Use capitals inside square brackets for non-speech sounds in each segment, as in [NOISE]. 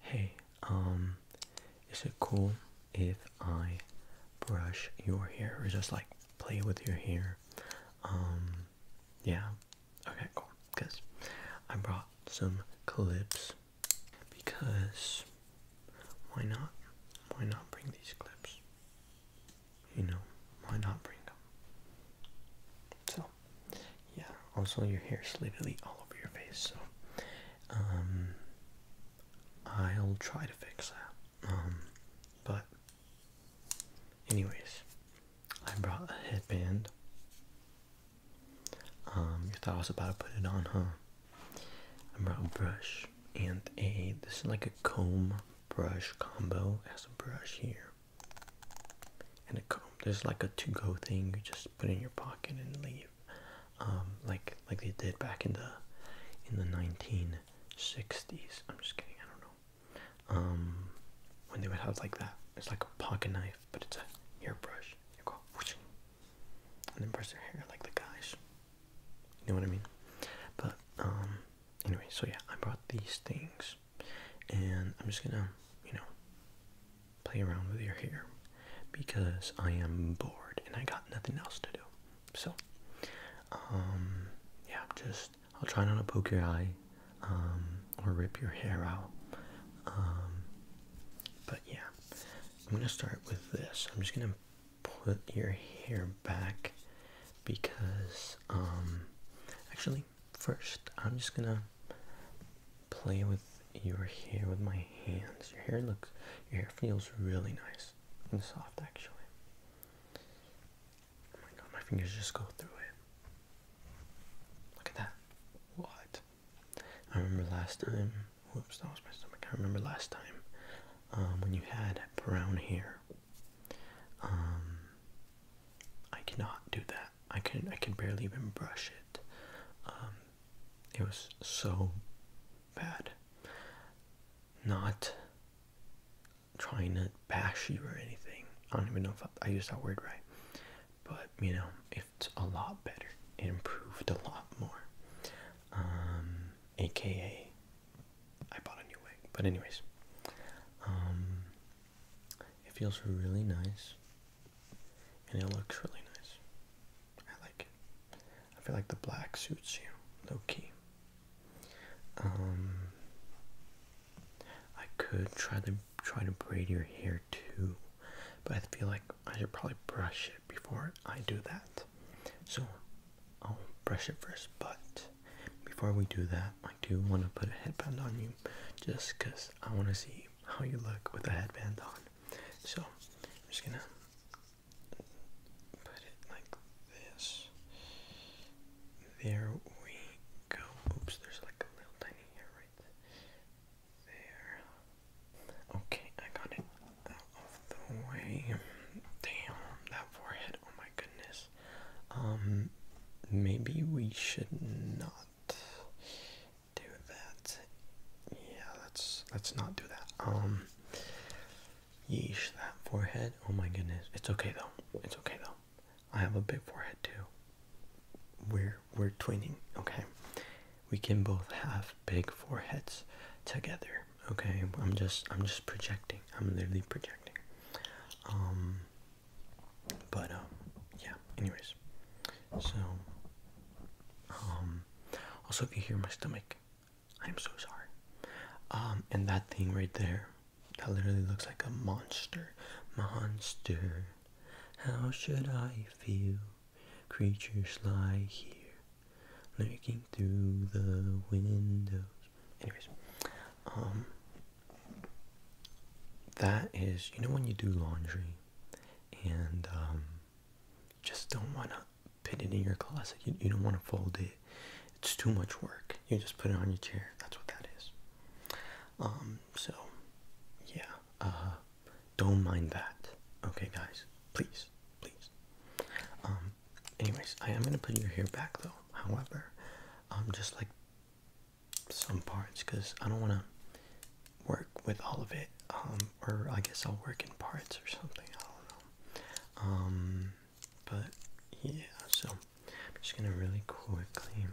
Hey, um, is it cool if I brush your hair or just like play with your hair? Um, yeah, okay, cool. Because I brought some clips because why not? Why not bring these clips? You know, why not bring them? So, yeah, also your hair is literally all over your face, so um, I'll try to fix that. Um, but anyways, I brought a headband. Um, you thought I was about to put it on, huh? I brought a brush and a this is like a comb brush combo. It has a brush here and a comb. There's like a to-go thing you just put in your pocket and leave, um, like like they did back in the in the 1960s. I'm just kidding. I don't know. Um, when they would have like that. It's like a pocket knife, but it's a hairbrush. You go whoosh, and then brush their hair like the guys. You know what I mean? But um, anyway, so yeah, I brought these things, and I'm just gonna, you know, play around with your hair because I am bored and I got nothing else to do. So, um, yeah, just I'll try not to poke your eye um, or rip your hair out. Um, but yeah, I'm gonna start with this. I'm just gonna put your hair back because, um, actually, first I'm just gonna play with your hair with my hands. Your hair looks, your hair feels really nice and soft actually. Oh my god, my fingers just go through it. Look at that. What? I remember last time, whoops, that was my stomach. I remember last time um, when you had brown hair. Um, I cannot do that. I can I can barely even brush it. Um, it was so bad. Not trying to bash you or anything. I don't even know if I, used that word right, but you know, it's a lot better. It improved a lot more. AKA, um, I bought a new wig. But anyways, um, it feels really nice and it looks really nice. I like it. I feel like the black suits you, low key. Um, I could try to try to braid your hair too, but I feel like I should probably brush it before I do that. So I'll brush it first, but before we do that, I do want to put a headband on you, just cause I want to see how you look with a headband on. So I'm just gonna put it like this. There we go. Oops, there's like a little tiny hair right there. Okay, I got it out of the way. Damn, that forehead, oh my goodness. Um, maybe we should not do that. Yeah, let's let's not do that. Um yeesh that forehead. Oh my goodness. It's okay though. It's okay though. I have a big forehead too. We're we're twinning, okay? We can both have big foreheads together. Okay, I'm just I'm just projecting. I'm literally projecting. Um but um yeah, anyways. So um, also, if you hear my stomach, I'm so sorry. Um, and that thing right there, that literally looks like a monster. Monster, how should I feel? Creatures lie here, lurking through the windows. Anyways, um, that is, you know, when you do laundry and, just don't want to put it in your closet. You, you don't want to fold it. It's too much work. You just put it on your chair. That's what that is. Um, so, yeah. Uh, don't mind that. Okay, guys. Please. Please. Um, anyways, I am going to put your hair back, though. However, um, just like some parts, because I don't want to work with all of it. Um, or I guess I'll work in parts or something. I don't know. Um, but yeah, so I'm just gonna really quickly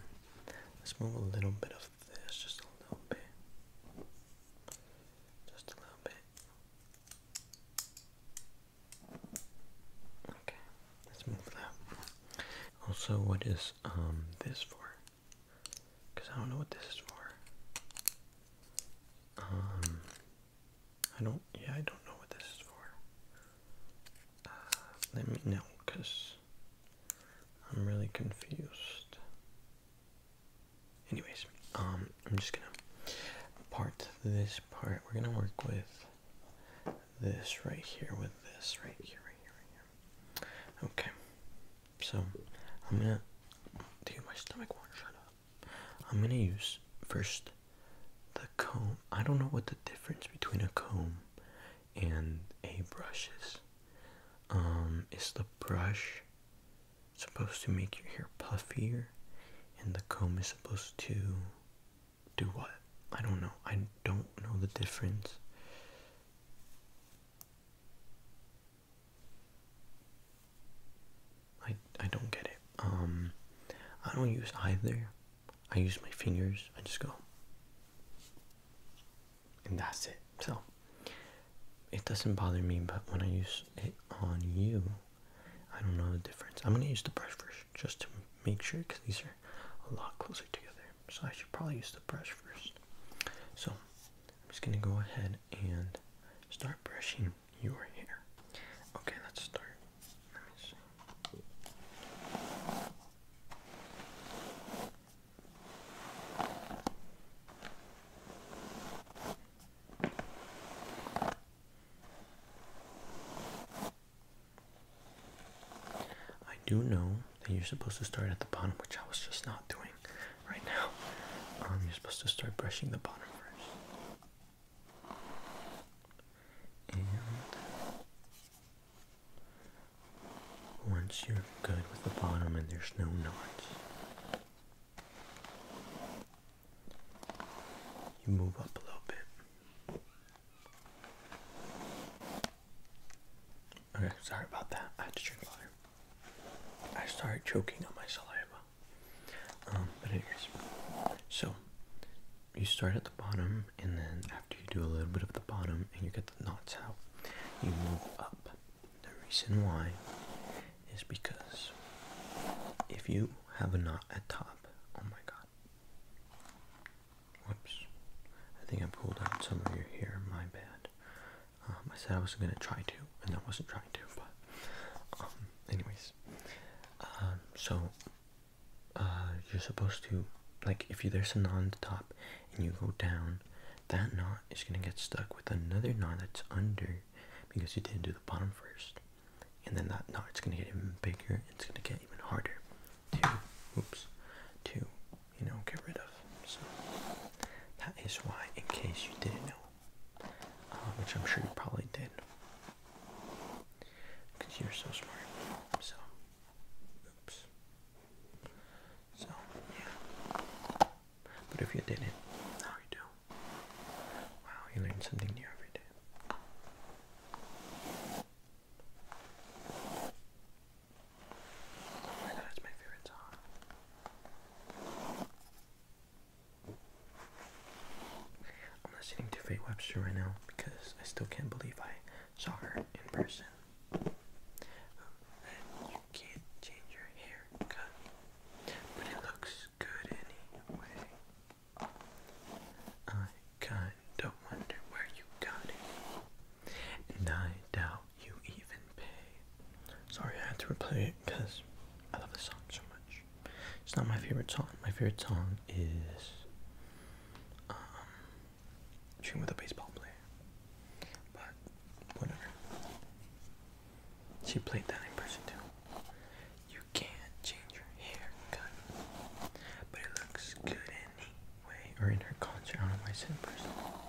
let's move a little bit of this, just a little bit, just a little bit. Okay, let's move that. Also, what is um, this for? Because I don't know what this is for. Um, I don't, yeah, I don't know what this is for. Uh, let me know, because I'm really confused. Anyways, um, I'm just gonna part this part. We're gonna work with this right here, with this right here, right here. Okay. So I'm gonna do my stomach won't shut up. I'm gonna use first the comb. I don't know what the difference between a comb and a brush is. Um, is the brush supposed to make your hair puffier, and the comb is supposed to do what? I don't know. I don't know the difference. I I don't get it. Um, I don't use either. I use my fingers. I just go, and that's it. So it doesn't bother me. But when I use it on you, I don't know the difference. I'm gonna use the brush first just to make sure because these are a lot closer together. So I should probably use the brush first. So I'm just gonna go ahead and start brushing your hair. Okay, let's start. Let me see. I do know that you're supposed to start at the bottom, which I was just not doing right now. Um, you're supposed to start brushing the bottom first. And once you're good with the bottom and there's no knots, you move up a little bit. Okay, sorry about that. I had to drink water. I start choking on my saliva. Um, but anyways, so you start at the bottom, and then after you do a little bit of the bottom and you get the knots out, you move up. The reason why is because if you have a knot at top, oh my god. Whoops. I think I pulled out some of your hair, my bad. Um, I said I wasn't gonna try to, and I wasn't trying to, but um, anyways, um, so uh, you're supposed to like if you, there's a knot on the top and you go down, that knot is gonna get stuck with another knot that's under because you didn't do the bottom first, and then that knot is gonna get even bigger. and It's gonna get even harder to, oops, to you know get rid of. So that is why, in case you didn't know, uh, which I'm sure you probably did, because you're so smart. So, oops. So, yeah. But if you didn't, now do. Wow, you learn something new every day. Oh my god, it's my favorite song. I'm listening to Faye Webster right now because I still can't believe I saw her in person. Um, you can't change your haircut, but it looks good anyway. I kinda wonder where you got it, and I doubt you even pay? Sorry, I had to replay it because I love this song so much. It's not my favorite song. My favorite song is um, Dream with a Baseball Player. But whatever. She played that in person too. You can't change your haircut, but it looks good anyway. Or in her concert, I don't know why I said in person.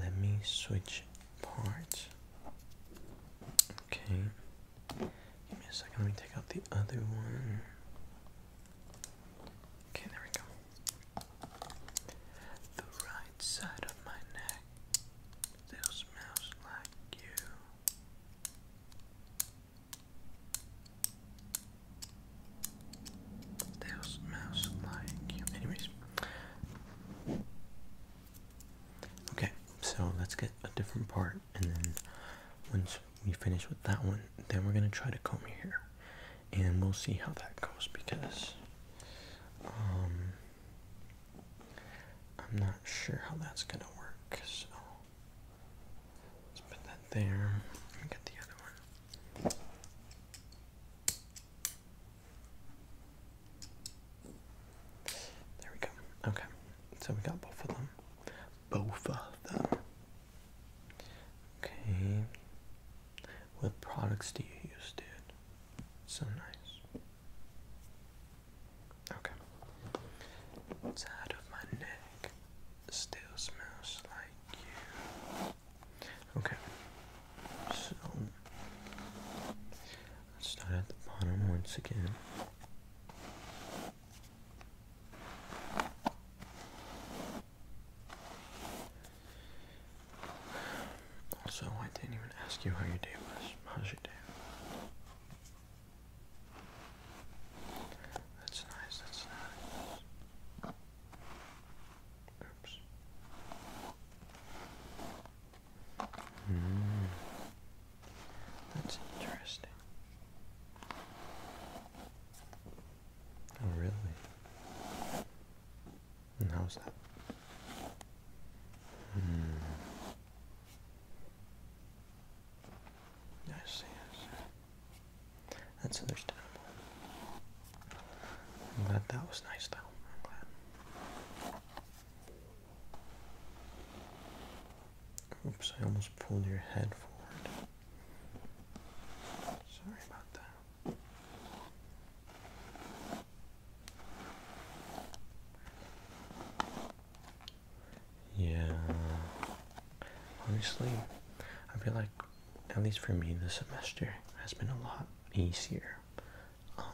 let me switch parts. Okay. Give me a second, let me take out the other one. Okay, there we go. The right side of my neck still smells like you. Still smells like you. Anyways, Okay, so let's get a different part, and then once we finish with that one, then we're gonna try to comb your hair, and we'll see how that goes because um, I'm not sure how that's gonna work. So let's put that there. get the other one. There we go. Okay. So we got both of them. Both of them. Okay. What products do you use, dude? So nice. Okay. Side of my neck still smells like you. Okay, so let's start at the bottom once again. Also, I didn't even ask you how your day was. How's your day? That's nice, that's nice. Oops. Mm. That's interesting. Oh, really? And how's that? Mm. I see, I see. That's understandable. I'm glad that was nice though. I'm glad. Oops, I almost pulled your head forward. Sorry about that. Yeah. Honestly, I feel like, at least for me, this semester has been a lot easier um,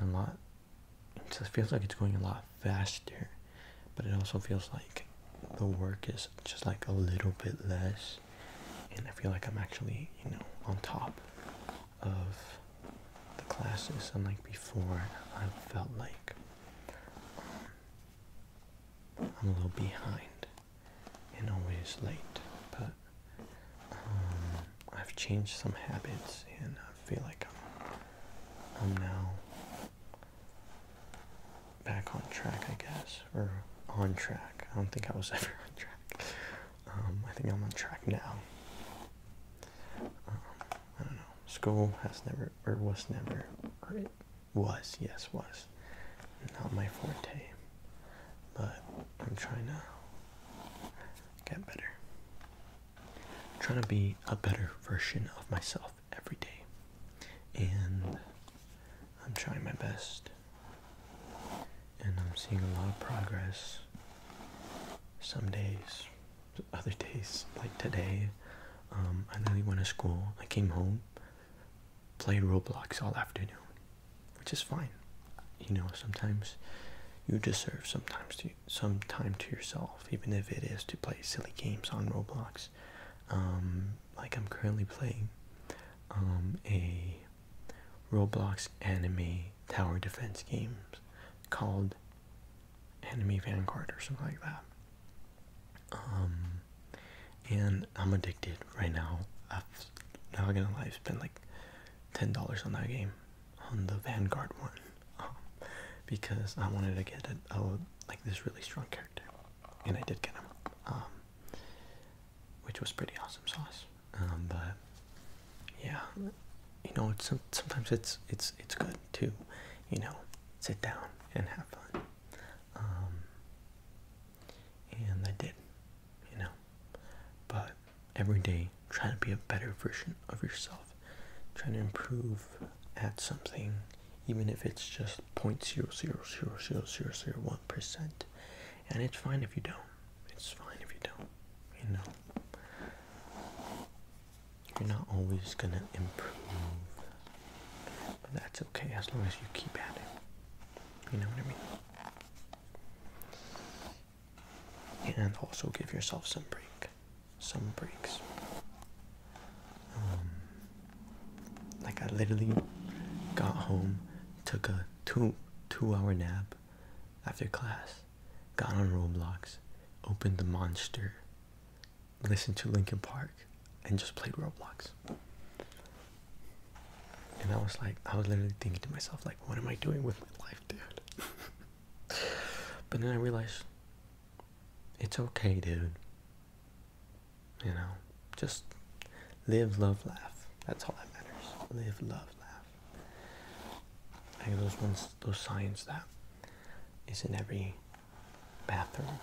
a lot. It feels like it's going a lot faster, but it also feels like the work is just like a little bit less, and I feel like I'm actually you know on top of the classes. Unlike before, I felt like um, I'm a little behind and always late, but um, I've changed some habits and I feel like I'm, now back on track, I guess, or on track. I don't think I was [LAUGHS] ever on track. Um, I think I'm on track now. Um, I don't know. School has never, or was never, it was, yes, was, not my forte but I'm trying to get better. trying to be a better version of myself every day, and I'm trying my best, and I'm seeing a lot of progress. Some days, other days, like today, um, I literally went to school. I came home, played Roblox all afternoon which is fine. You know, sometimes you deserve sometimes to some time to yourself, even if it is to play silly games on Roblox. Um, like I'm currently playing um, a Roblox anime tower defense game called Enemy Vanguard or something like that. Um, and I'm addicted right now. I've now gonna lie, I've spent like ten dollars on that game, on the Vanguard one, um, because I wanted to get a, like this really strong character, and I did get him, um, which was pretty awesome sauce. Um, but yeah, you know, sometimes it's it's it's good to, you know, sit down and have fun and I did, you know. But every day, try to be a better version of yourself. Try to improve at something, even if it's just point zero zero zero zero zero zero one percent. And it's fine if you don't. It's fine if you don't. You know, you're not always gonna improve, but that's okay as long as you keep at it. You know what I mean? and also give yourself some break some breaks um, like i literally got home took a two two hour nap after class got on roblox opened the monster listened to linkin park and just played roblox and I was like, I was literally thinking to myself, like, what am I doing with my life, dude? [LAUGHS] but then I realized it's okay, dude. You know, just live, love, laugh. That's all that matters. Live, love, laugh. Like those ones, those signs that is in every bathroom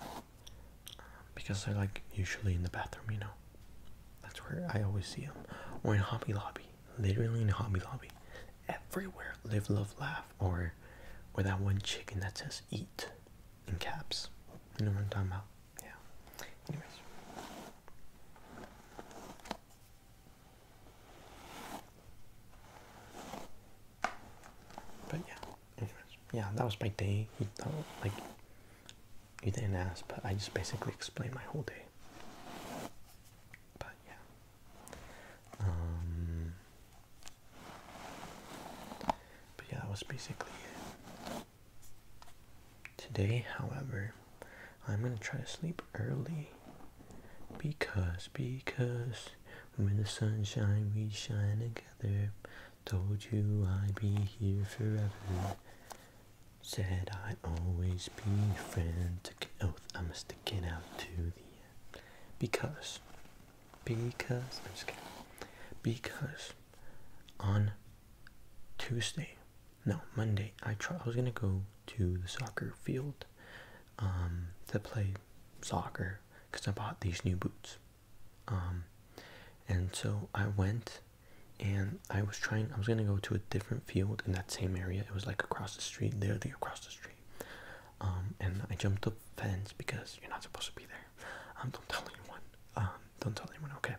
because they're like usually in the bathroom, you know. That's where I always see them. Or in Hobby Lobby. Literally in Hobby Lobby. Everywhere. Live, love, laugh. Or or that one chicken that says eat in caps. You know what I'm talking about? Yeah. Anyways. But yeah. Yeah, that was my day. like you didn't ask, but I just basically explained my whole day. But yeah. Um, but yeah, that was basically it. Today, however, I'm gonna try to sleep early because because when the sun shines we shine together. Told you I'd be here forever. Said I always be your friend. Took an oath, I must stick it out to the end. Because, because, I'm just kidding. Because on Tuesday, no, Monday, I, try, I was going to go to the soccer field um, to play soccer because I bought these new boots. Um, and so I went and I was trying I was gonna go to a different field in that same area it was like across the street there they across the street um, and I jumped the fence because you're not supposed to be there um don't tell anyone um don't tell anyone okay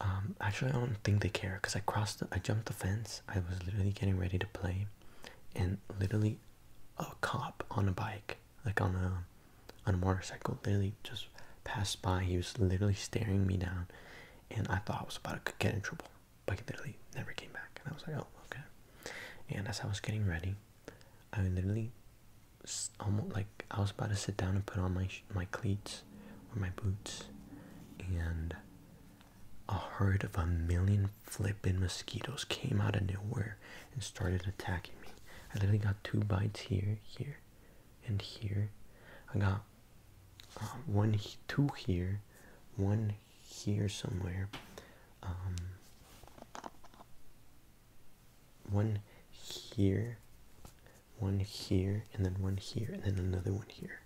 um actually I don't think they care because I crossed I jumped the fence I was literally getting ready to play and literally a cop on a bike like on a on a motorcycle literally just passed by he was literally staring me down and I thought I was about to get in trouble, but I literally never came back. And I was like, oh, okay. And as I was getting ready, I literally almost like I was about to sit down and put on my my cleats or my boots, and a herd of a million flipping mosquitoes came out of nowhere and started attacking me. I literally got two bites here, here, and here. I got uh, one two here one here somewhere um, one here one here and then one here and then another one here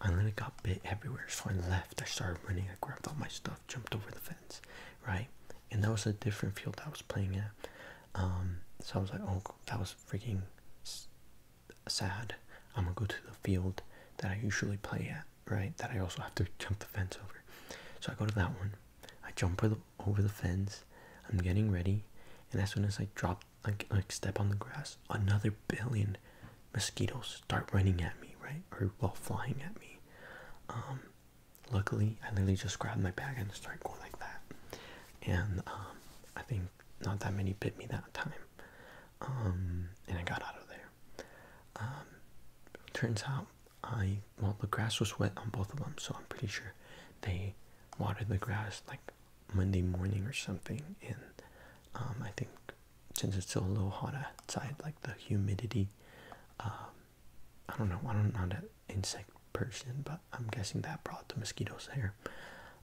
i literally got bit everywhere so i left i started running i grabbed all my stuff jumped over the fence right and that was a different field i was playing at um, so i was like oh that was freaking sad, I'm gonna go to the field that I usually play at, right? That I also have to jump the fence over. So I go to that one, I jump over the, fence, I'm getting ready, and as soon as I drop, like, like step on the grass, another billion mosquitoes start running at me, right? Or well, flying at me. Um, luckily, I literally just grabbed my bag and started going like that, and um, I think not that many bit me that time. Um, and I got out of there. Um, turns out I well the grass was wet on both of them, so I'm pretty sure they watered the grass like Monday morning or something. And um, I think since it's still a little hot outside, like the humidity, I don't know. I don't know that insect person, but I'm guessing that brought the mosquitoes there.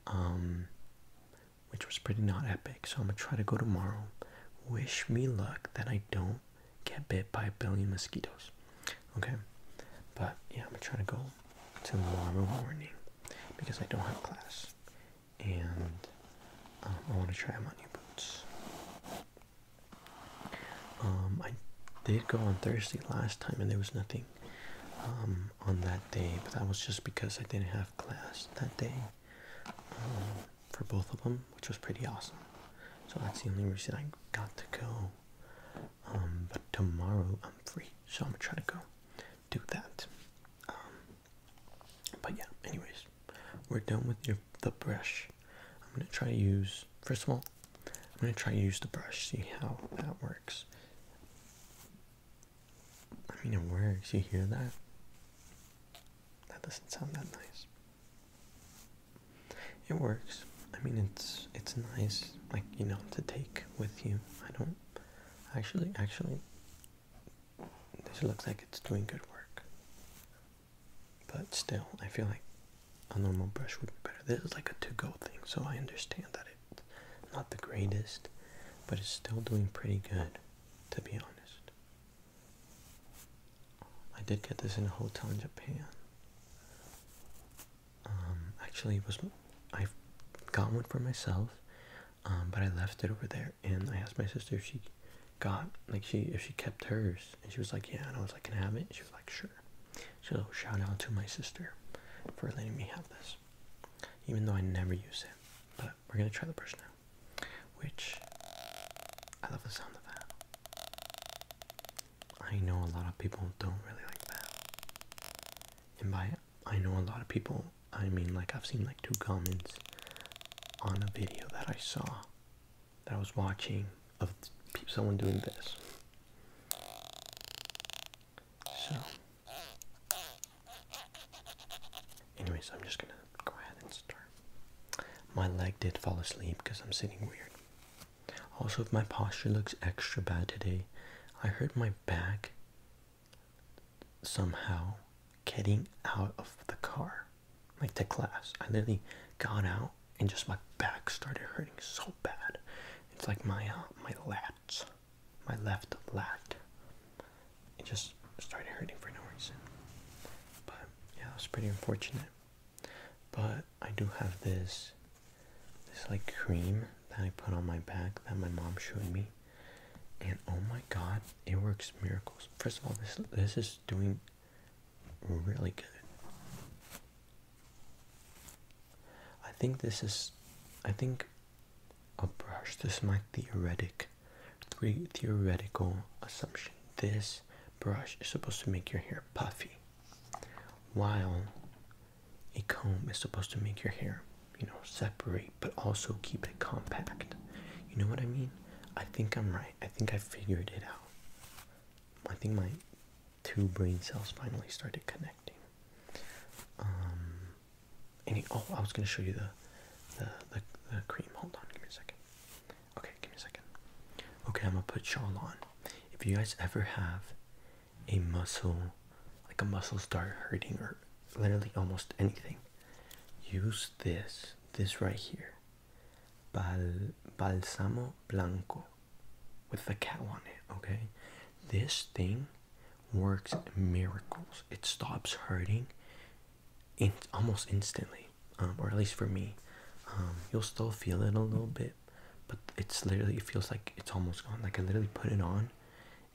Um, which was pretty not epic. So I'm gonna try to go tomorrow. Wish me luck that I don't get bit by a billion mosquitoes. Okay, but yeah, I'm gonna try to go tomorrow morning because I don't have class, and um, I want to try my new boots. Um, I did go on Thursday last time, and there was nothing um, on that day, but that was just because I didn't have class that day um, for both of them, which was pretty awesome. So that's the only reason I got to go. Um, but tomorrow I'm free, so I'm gonna try to go do that. but yeah, anyways, we're done with your, the brush. I'm gonna try to use first of all. I'm gonna try to use the brush, see how that works. I mean, it works. You hear that? That doesn't sound that nice. It works. I mean, it's it's nice, like you know, to take with you. I don't actually actually. This looks like it's doing good work, but still, I feel like a normal brush would be better. This is like a to-go thing, so I understand that it not the greatest, but it's still doing pretty good, to be honest. I did get this in a hotel in Japan. Um, actually, was I got one for myself, um, but I left it over there, and I asked my sister if she got like she if she kept hers, and she was like, yeah, and I was like, can I have it? she was like, sure. So shout out to my sister for letting me have this even though I never use it. But we're gonna try the brush now, which I love the sound of that. I know a lot of people don't really like that, and by I know a lot of people, I mean like I've seen like two comments on a video that I saw that I was watching of someone doing this. So, anyways, I'm just gonna go ahead and start. My leg did fall asleep because I'm sitting weird. Also, if my posture looks extra bad today, I hurt my back somehow getting out of the car, like the class. I literally got out and just my back started hurting so bad. It's like my uh, my lats my left lat. It just started hurting for no reason. But yeah, it was pretty unfortunate. But I do have this this like cream that I put on my back that my mom showed me. And oh my god, it works miracles. First of all, this this is doing really good. I think this is, I think, a brush. This is my theoretic, three theoretical assumption. This brush is supposed to make your hair puffy, while a comb is supposed to make your hair, you know, separate but also keep it compact. You know what I mean? I think I'm right. I think I figured it out. I think my two brain cells finally started connecting. Um, any? Oh, I was gonna show you the, the the cream. Hold on, give me a second. Okay, give me a second. Okay, I'm gonna put Shawl on. If you guys ever have a muscle, like a muscle start hurting or literally almost anything, use this. This right here, Bal balsamo blanco, with the cow on it. Okay, this thing works miracles. It stops hurting in almost instantly, um, or at least for me. Um, you'll still feel it a little bit, but it's literally it feels like it's almost gone. Like I literally put it on,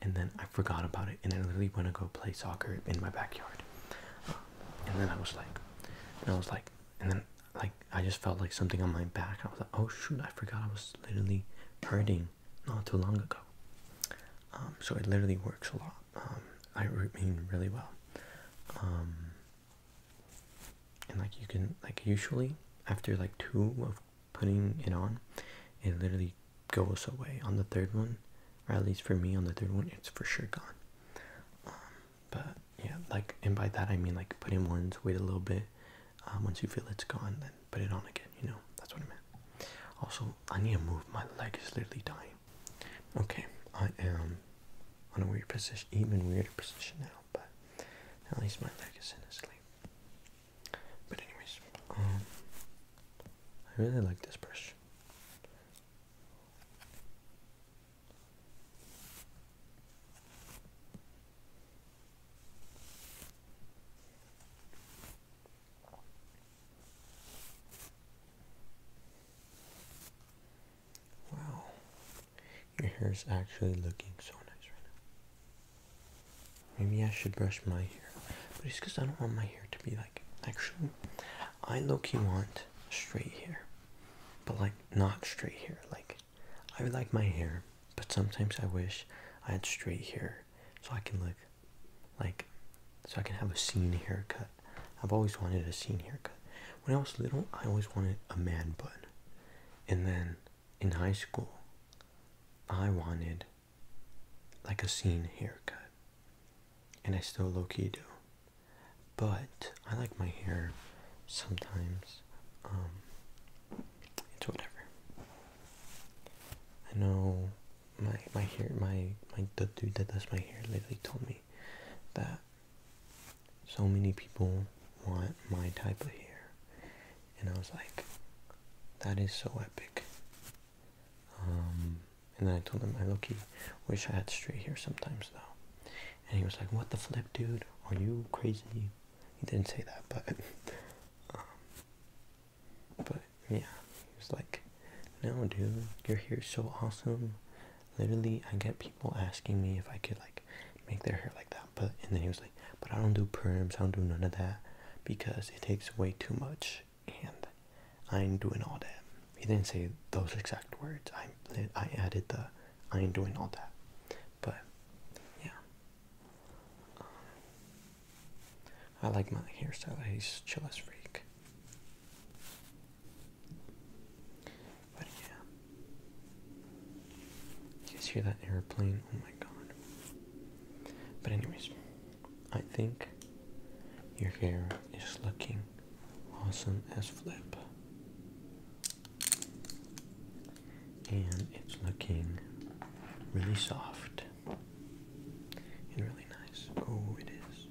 and then I forgot about it, and I literally went to go play soccer in my backyard, um, and then I was like, and I was like, and then like I just felt like something on my back. I was like, oh shoot, I forgot I was literally hurting not too long ago. Um, so it literally works a lot. Um, I mean, really well. Um, and like you can, like usually after like two of putting it on, it literally goes away. On the third one, or at least for me, on the third one, it's for sure gone. Um, but yeah, like, and by that I mean like putting in once, wait a little bit. Uh, once you feel it's gone, then put it on again, you know, that's what I meant. Also, I need to move, my leg is literally dying. Okay, I am on a weird position, even weirder position now, but at least my leg is in a sleep. But anyways, um, I really like this brush. Wow, your hair is actually looking so nice right now. Maybe I should brush my hair, but it's because I don't want my hair to be like. Actually, I low-key want straight hair, but like not straight hair. Like, I would like my hair, but sometimes I wish I had straight hair so I can look like so I can have a scene haircut. I've always wanted a scene haircut. When I was little, I always wanted a man bun. And then in high school, I wanted like a scene haircut. And I still low key do. But I like my hair sometimes um, it's whatever. I know my my hair my my dude that does my hair literally told me that so many people want my type of hair, and I was like, that is so epic. Um, and then I told him I low key wish I had straight hair sometimes though, and he was like, what the flip, dude? Are you crazy? He didn't say that, but. [LAUGHS] Um, but yeah, he was like, no, dude, your hair's so awesome. Literally, I get people asking me if I could like make their hair like that. But and then he was like, but I don't do perms. I don't do none of that because it takes way too much, and I ain't doing all that. He didn't say those exact words. I I added the I ain't doing all that. But yeah, I like my hairstyle. He's chill as freak. But yeah. You guys hear that airplane? Oh my god. But anyways, I think your hair is looking awesome as flip. And it's looking really soft and really nice. Oh, it is.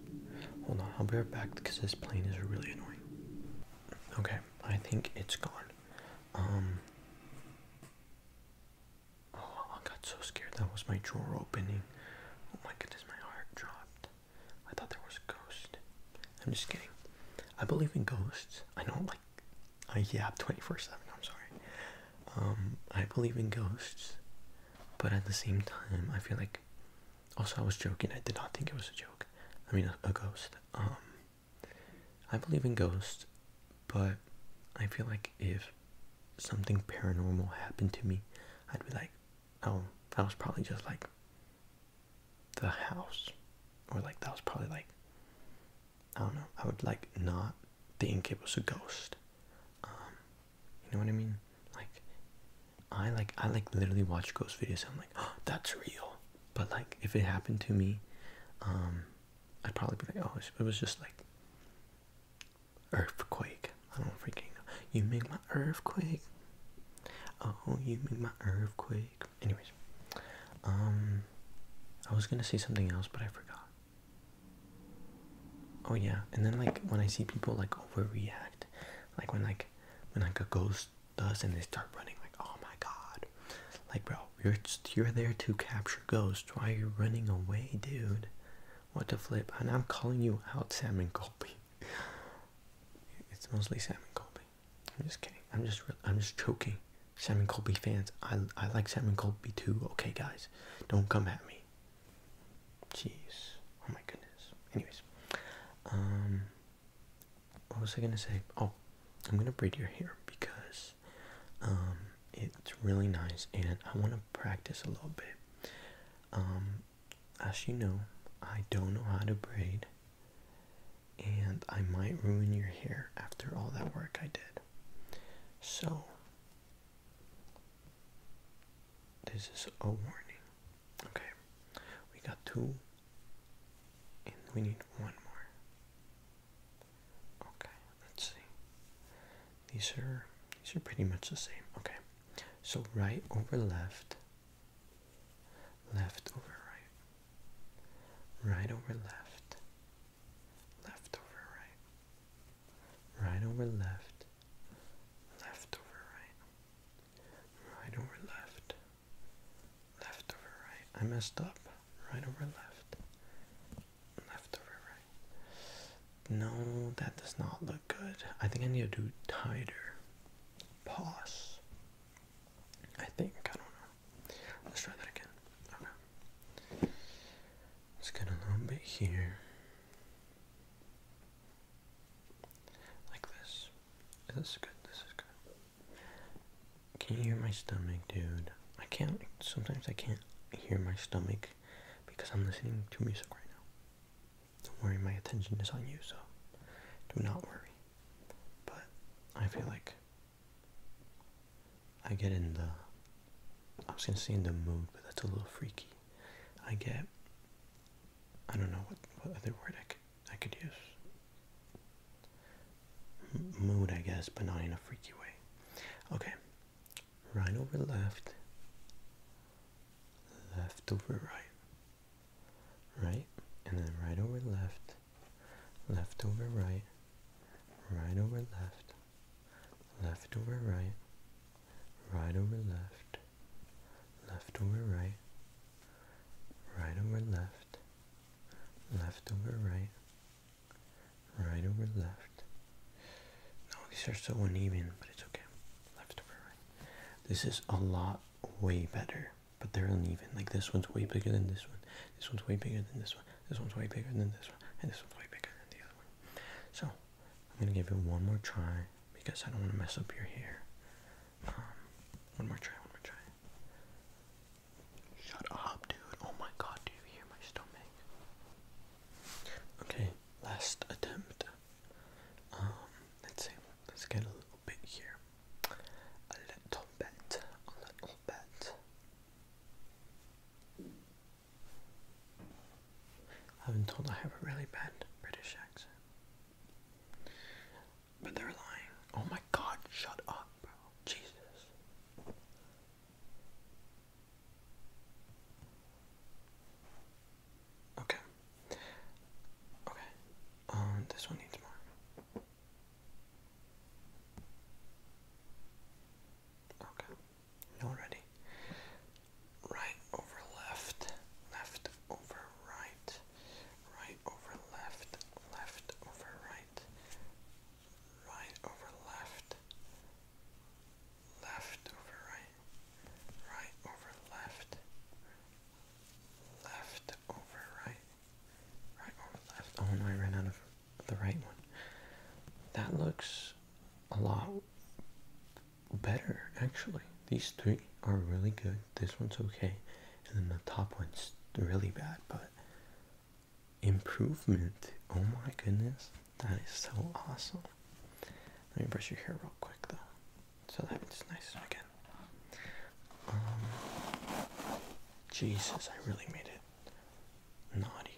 Hold on, I'll be right back because this plane is really annoying. Okay, I think it's gone. Um. Oh, I got so scared. That was my drawer opening. Oh my goodness, my heart dropped. I thought there was a ghost. I'm just kidding. I believe in ghosts. I don't like, I uh, yap 24 7. I'm sorry. Um, I believe in ghosts, but at the same time, I feel like also I was joking. I did not think it was a joke. I mean, a, ghost. Um, I believe in ghosts, but I feel like if something paranormal happened to me, I'd be like, oh, that was probably just like the house, or like that was probably like I don't know. I would like not think it was a ghost. Um, you know what I mean? Like, I like I like literally watch ghost videos. I'm like, oh, that's real. But like, if it happened to me, um, I'd probably be like, oh, it was just like earthquake. I don't freaking know. You make my earthquake. Oh, you make my earthquake. Anyways, um, I was gonna say something else, but I forgot. Oh yeah, and then like when I see people like overreact, like when like when like a ghost does and they start running, like oh my god, like bro, you're you're there to capture ghosts. Why are you running away, dude? What the flip? And I'm calling you out, Sam and Colby. It's mostly Sam and Colby. I'm just kidding. I'm just I'm just joking. Sam and Colby fans. I I like Sam and Colby too. Okay, guys. Don't come at me. Jeez. Oh my goodness. Anyways. Um what was I gonna say? Oh, I'm gonna braid your hair because um it's really nice and I wanna practice a little bit. Um as you know, I don't know how to braid and I might ruin your hair after all that work I did. So this is a warning. Okay, we got two, and we need one more. Okay, let's see. These are these are pretty much the same. Okay, so right over left, left over right, right over left, left over right right over left, left over right, right over left, left over right. I messed up. Right over left, left over right. No, that does not look good. I think I need to do tighter. Pause. I think, I don't know. Let's try that again. Just get a little bit here. Like this. This is good, this is good. Can you hear my stomach, dude? I can't, sometimes I can't hear my stomach because I'm listening to music right now. Don't worry, my attention is on you, so do not worry. But I feel like I get in the I was gonna say in the mood, but that's a little freaky. I get I don't know what, what other word I could I could use. mood, I guess, but not in a freaky way. Okay, right over left, left over right, right, and then right over left, left over right, right over left, left over right, right over left, left over right, right over left, left over right, right over left. No, these are so uneven, but it's okay. Left over right. This is a lot way better, but they're uneven. Like this one's way bigger than this one. This one's way bigger than this one. This one's way bigger than this one, and this one's way bigger than the other one. So I'm gonna give it one more try because I don't want to mess up your hair. Um, one more try, one more try. Shut up, dude! Oh my God, do you hear my stomach? Okay, last attempt. Um, let's see. Let's get a little bit here. A little bit. A little bit. I've been told I have a really bad British accent. But they're lying. Oh my god, shut up, bro. Jesus. Okay. Okay. Um, this one needs more. Okay already. Right over left, left over right, right over left, left over right, right over left, left over right, right over left, Oh, and I ran out of the right one. That looks a lot better actually. These three are really good. This one's okay, and then the top one's really bad, but improvement. Oh my goodness, that is so awesome. Let me brush your hair real quick though, so that it's nice again. Um, Jesus, I really made it naughty.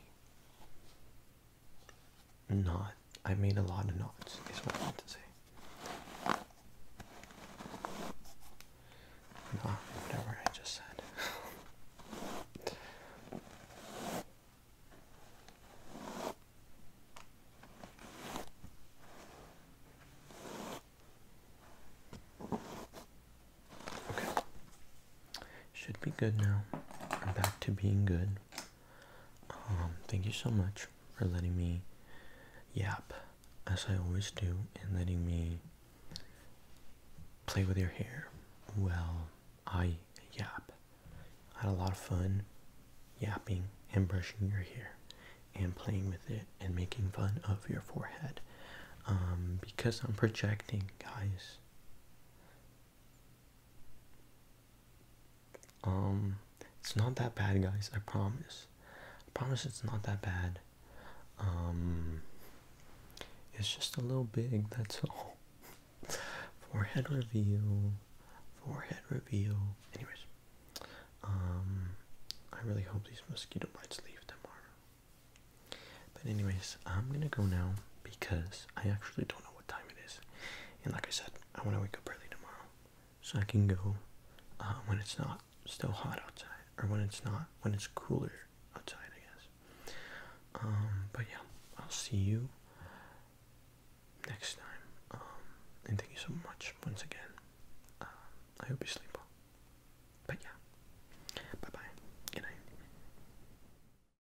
Not. I made a lot of knots, is what I meant to say. No, whatever I just said. [LAUGHS] Okay. Should be good now. back to being good. Um, thank you so much for letting me yap as I always do and letting me play with your hair. Well, I yap. I had a lot of fun yapping and brushing your hair and playing with it and making fun of your forehead. Um, because I'm projecting, guys. Um, it's not that bad, guys. I promise. promise it's not that bad. Um, it's just a little big. That's all. [LAUGHS] Forehead reveal. Forehead reveal. Anyways, um, I really hope these mosquito bites leave tomorrow. But anyways, I'm gonna go now because I actually don't know what time it is. And like I said, I want to wake up early tomorrow, so I can go uh, when it's not still hot outside, or when it's not when it's cooler outside, I guess. Um, but yeah, I'll see you next time. Um, and thank you so much once again. Uh, I hope you sleep well. But yeah, bye bye. Good night.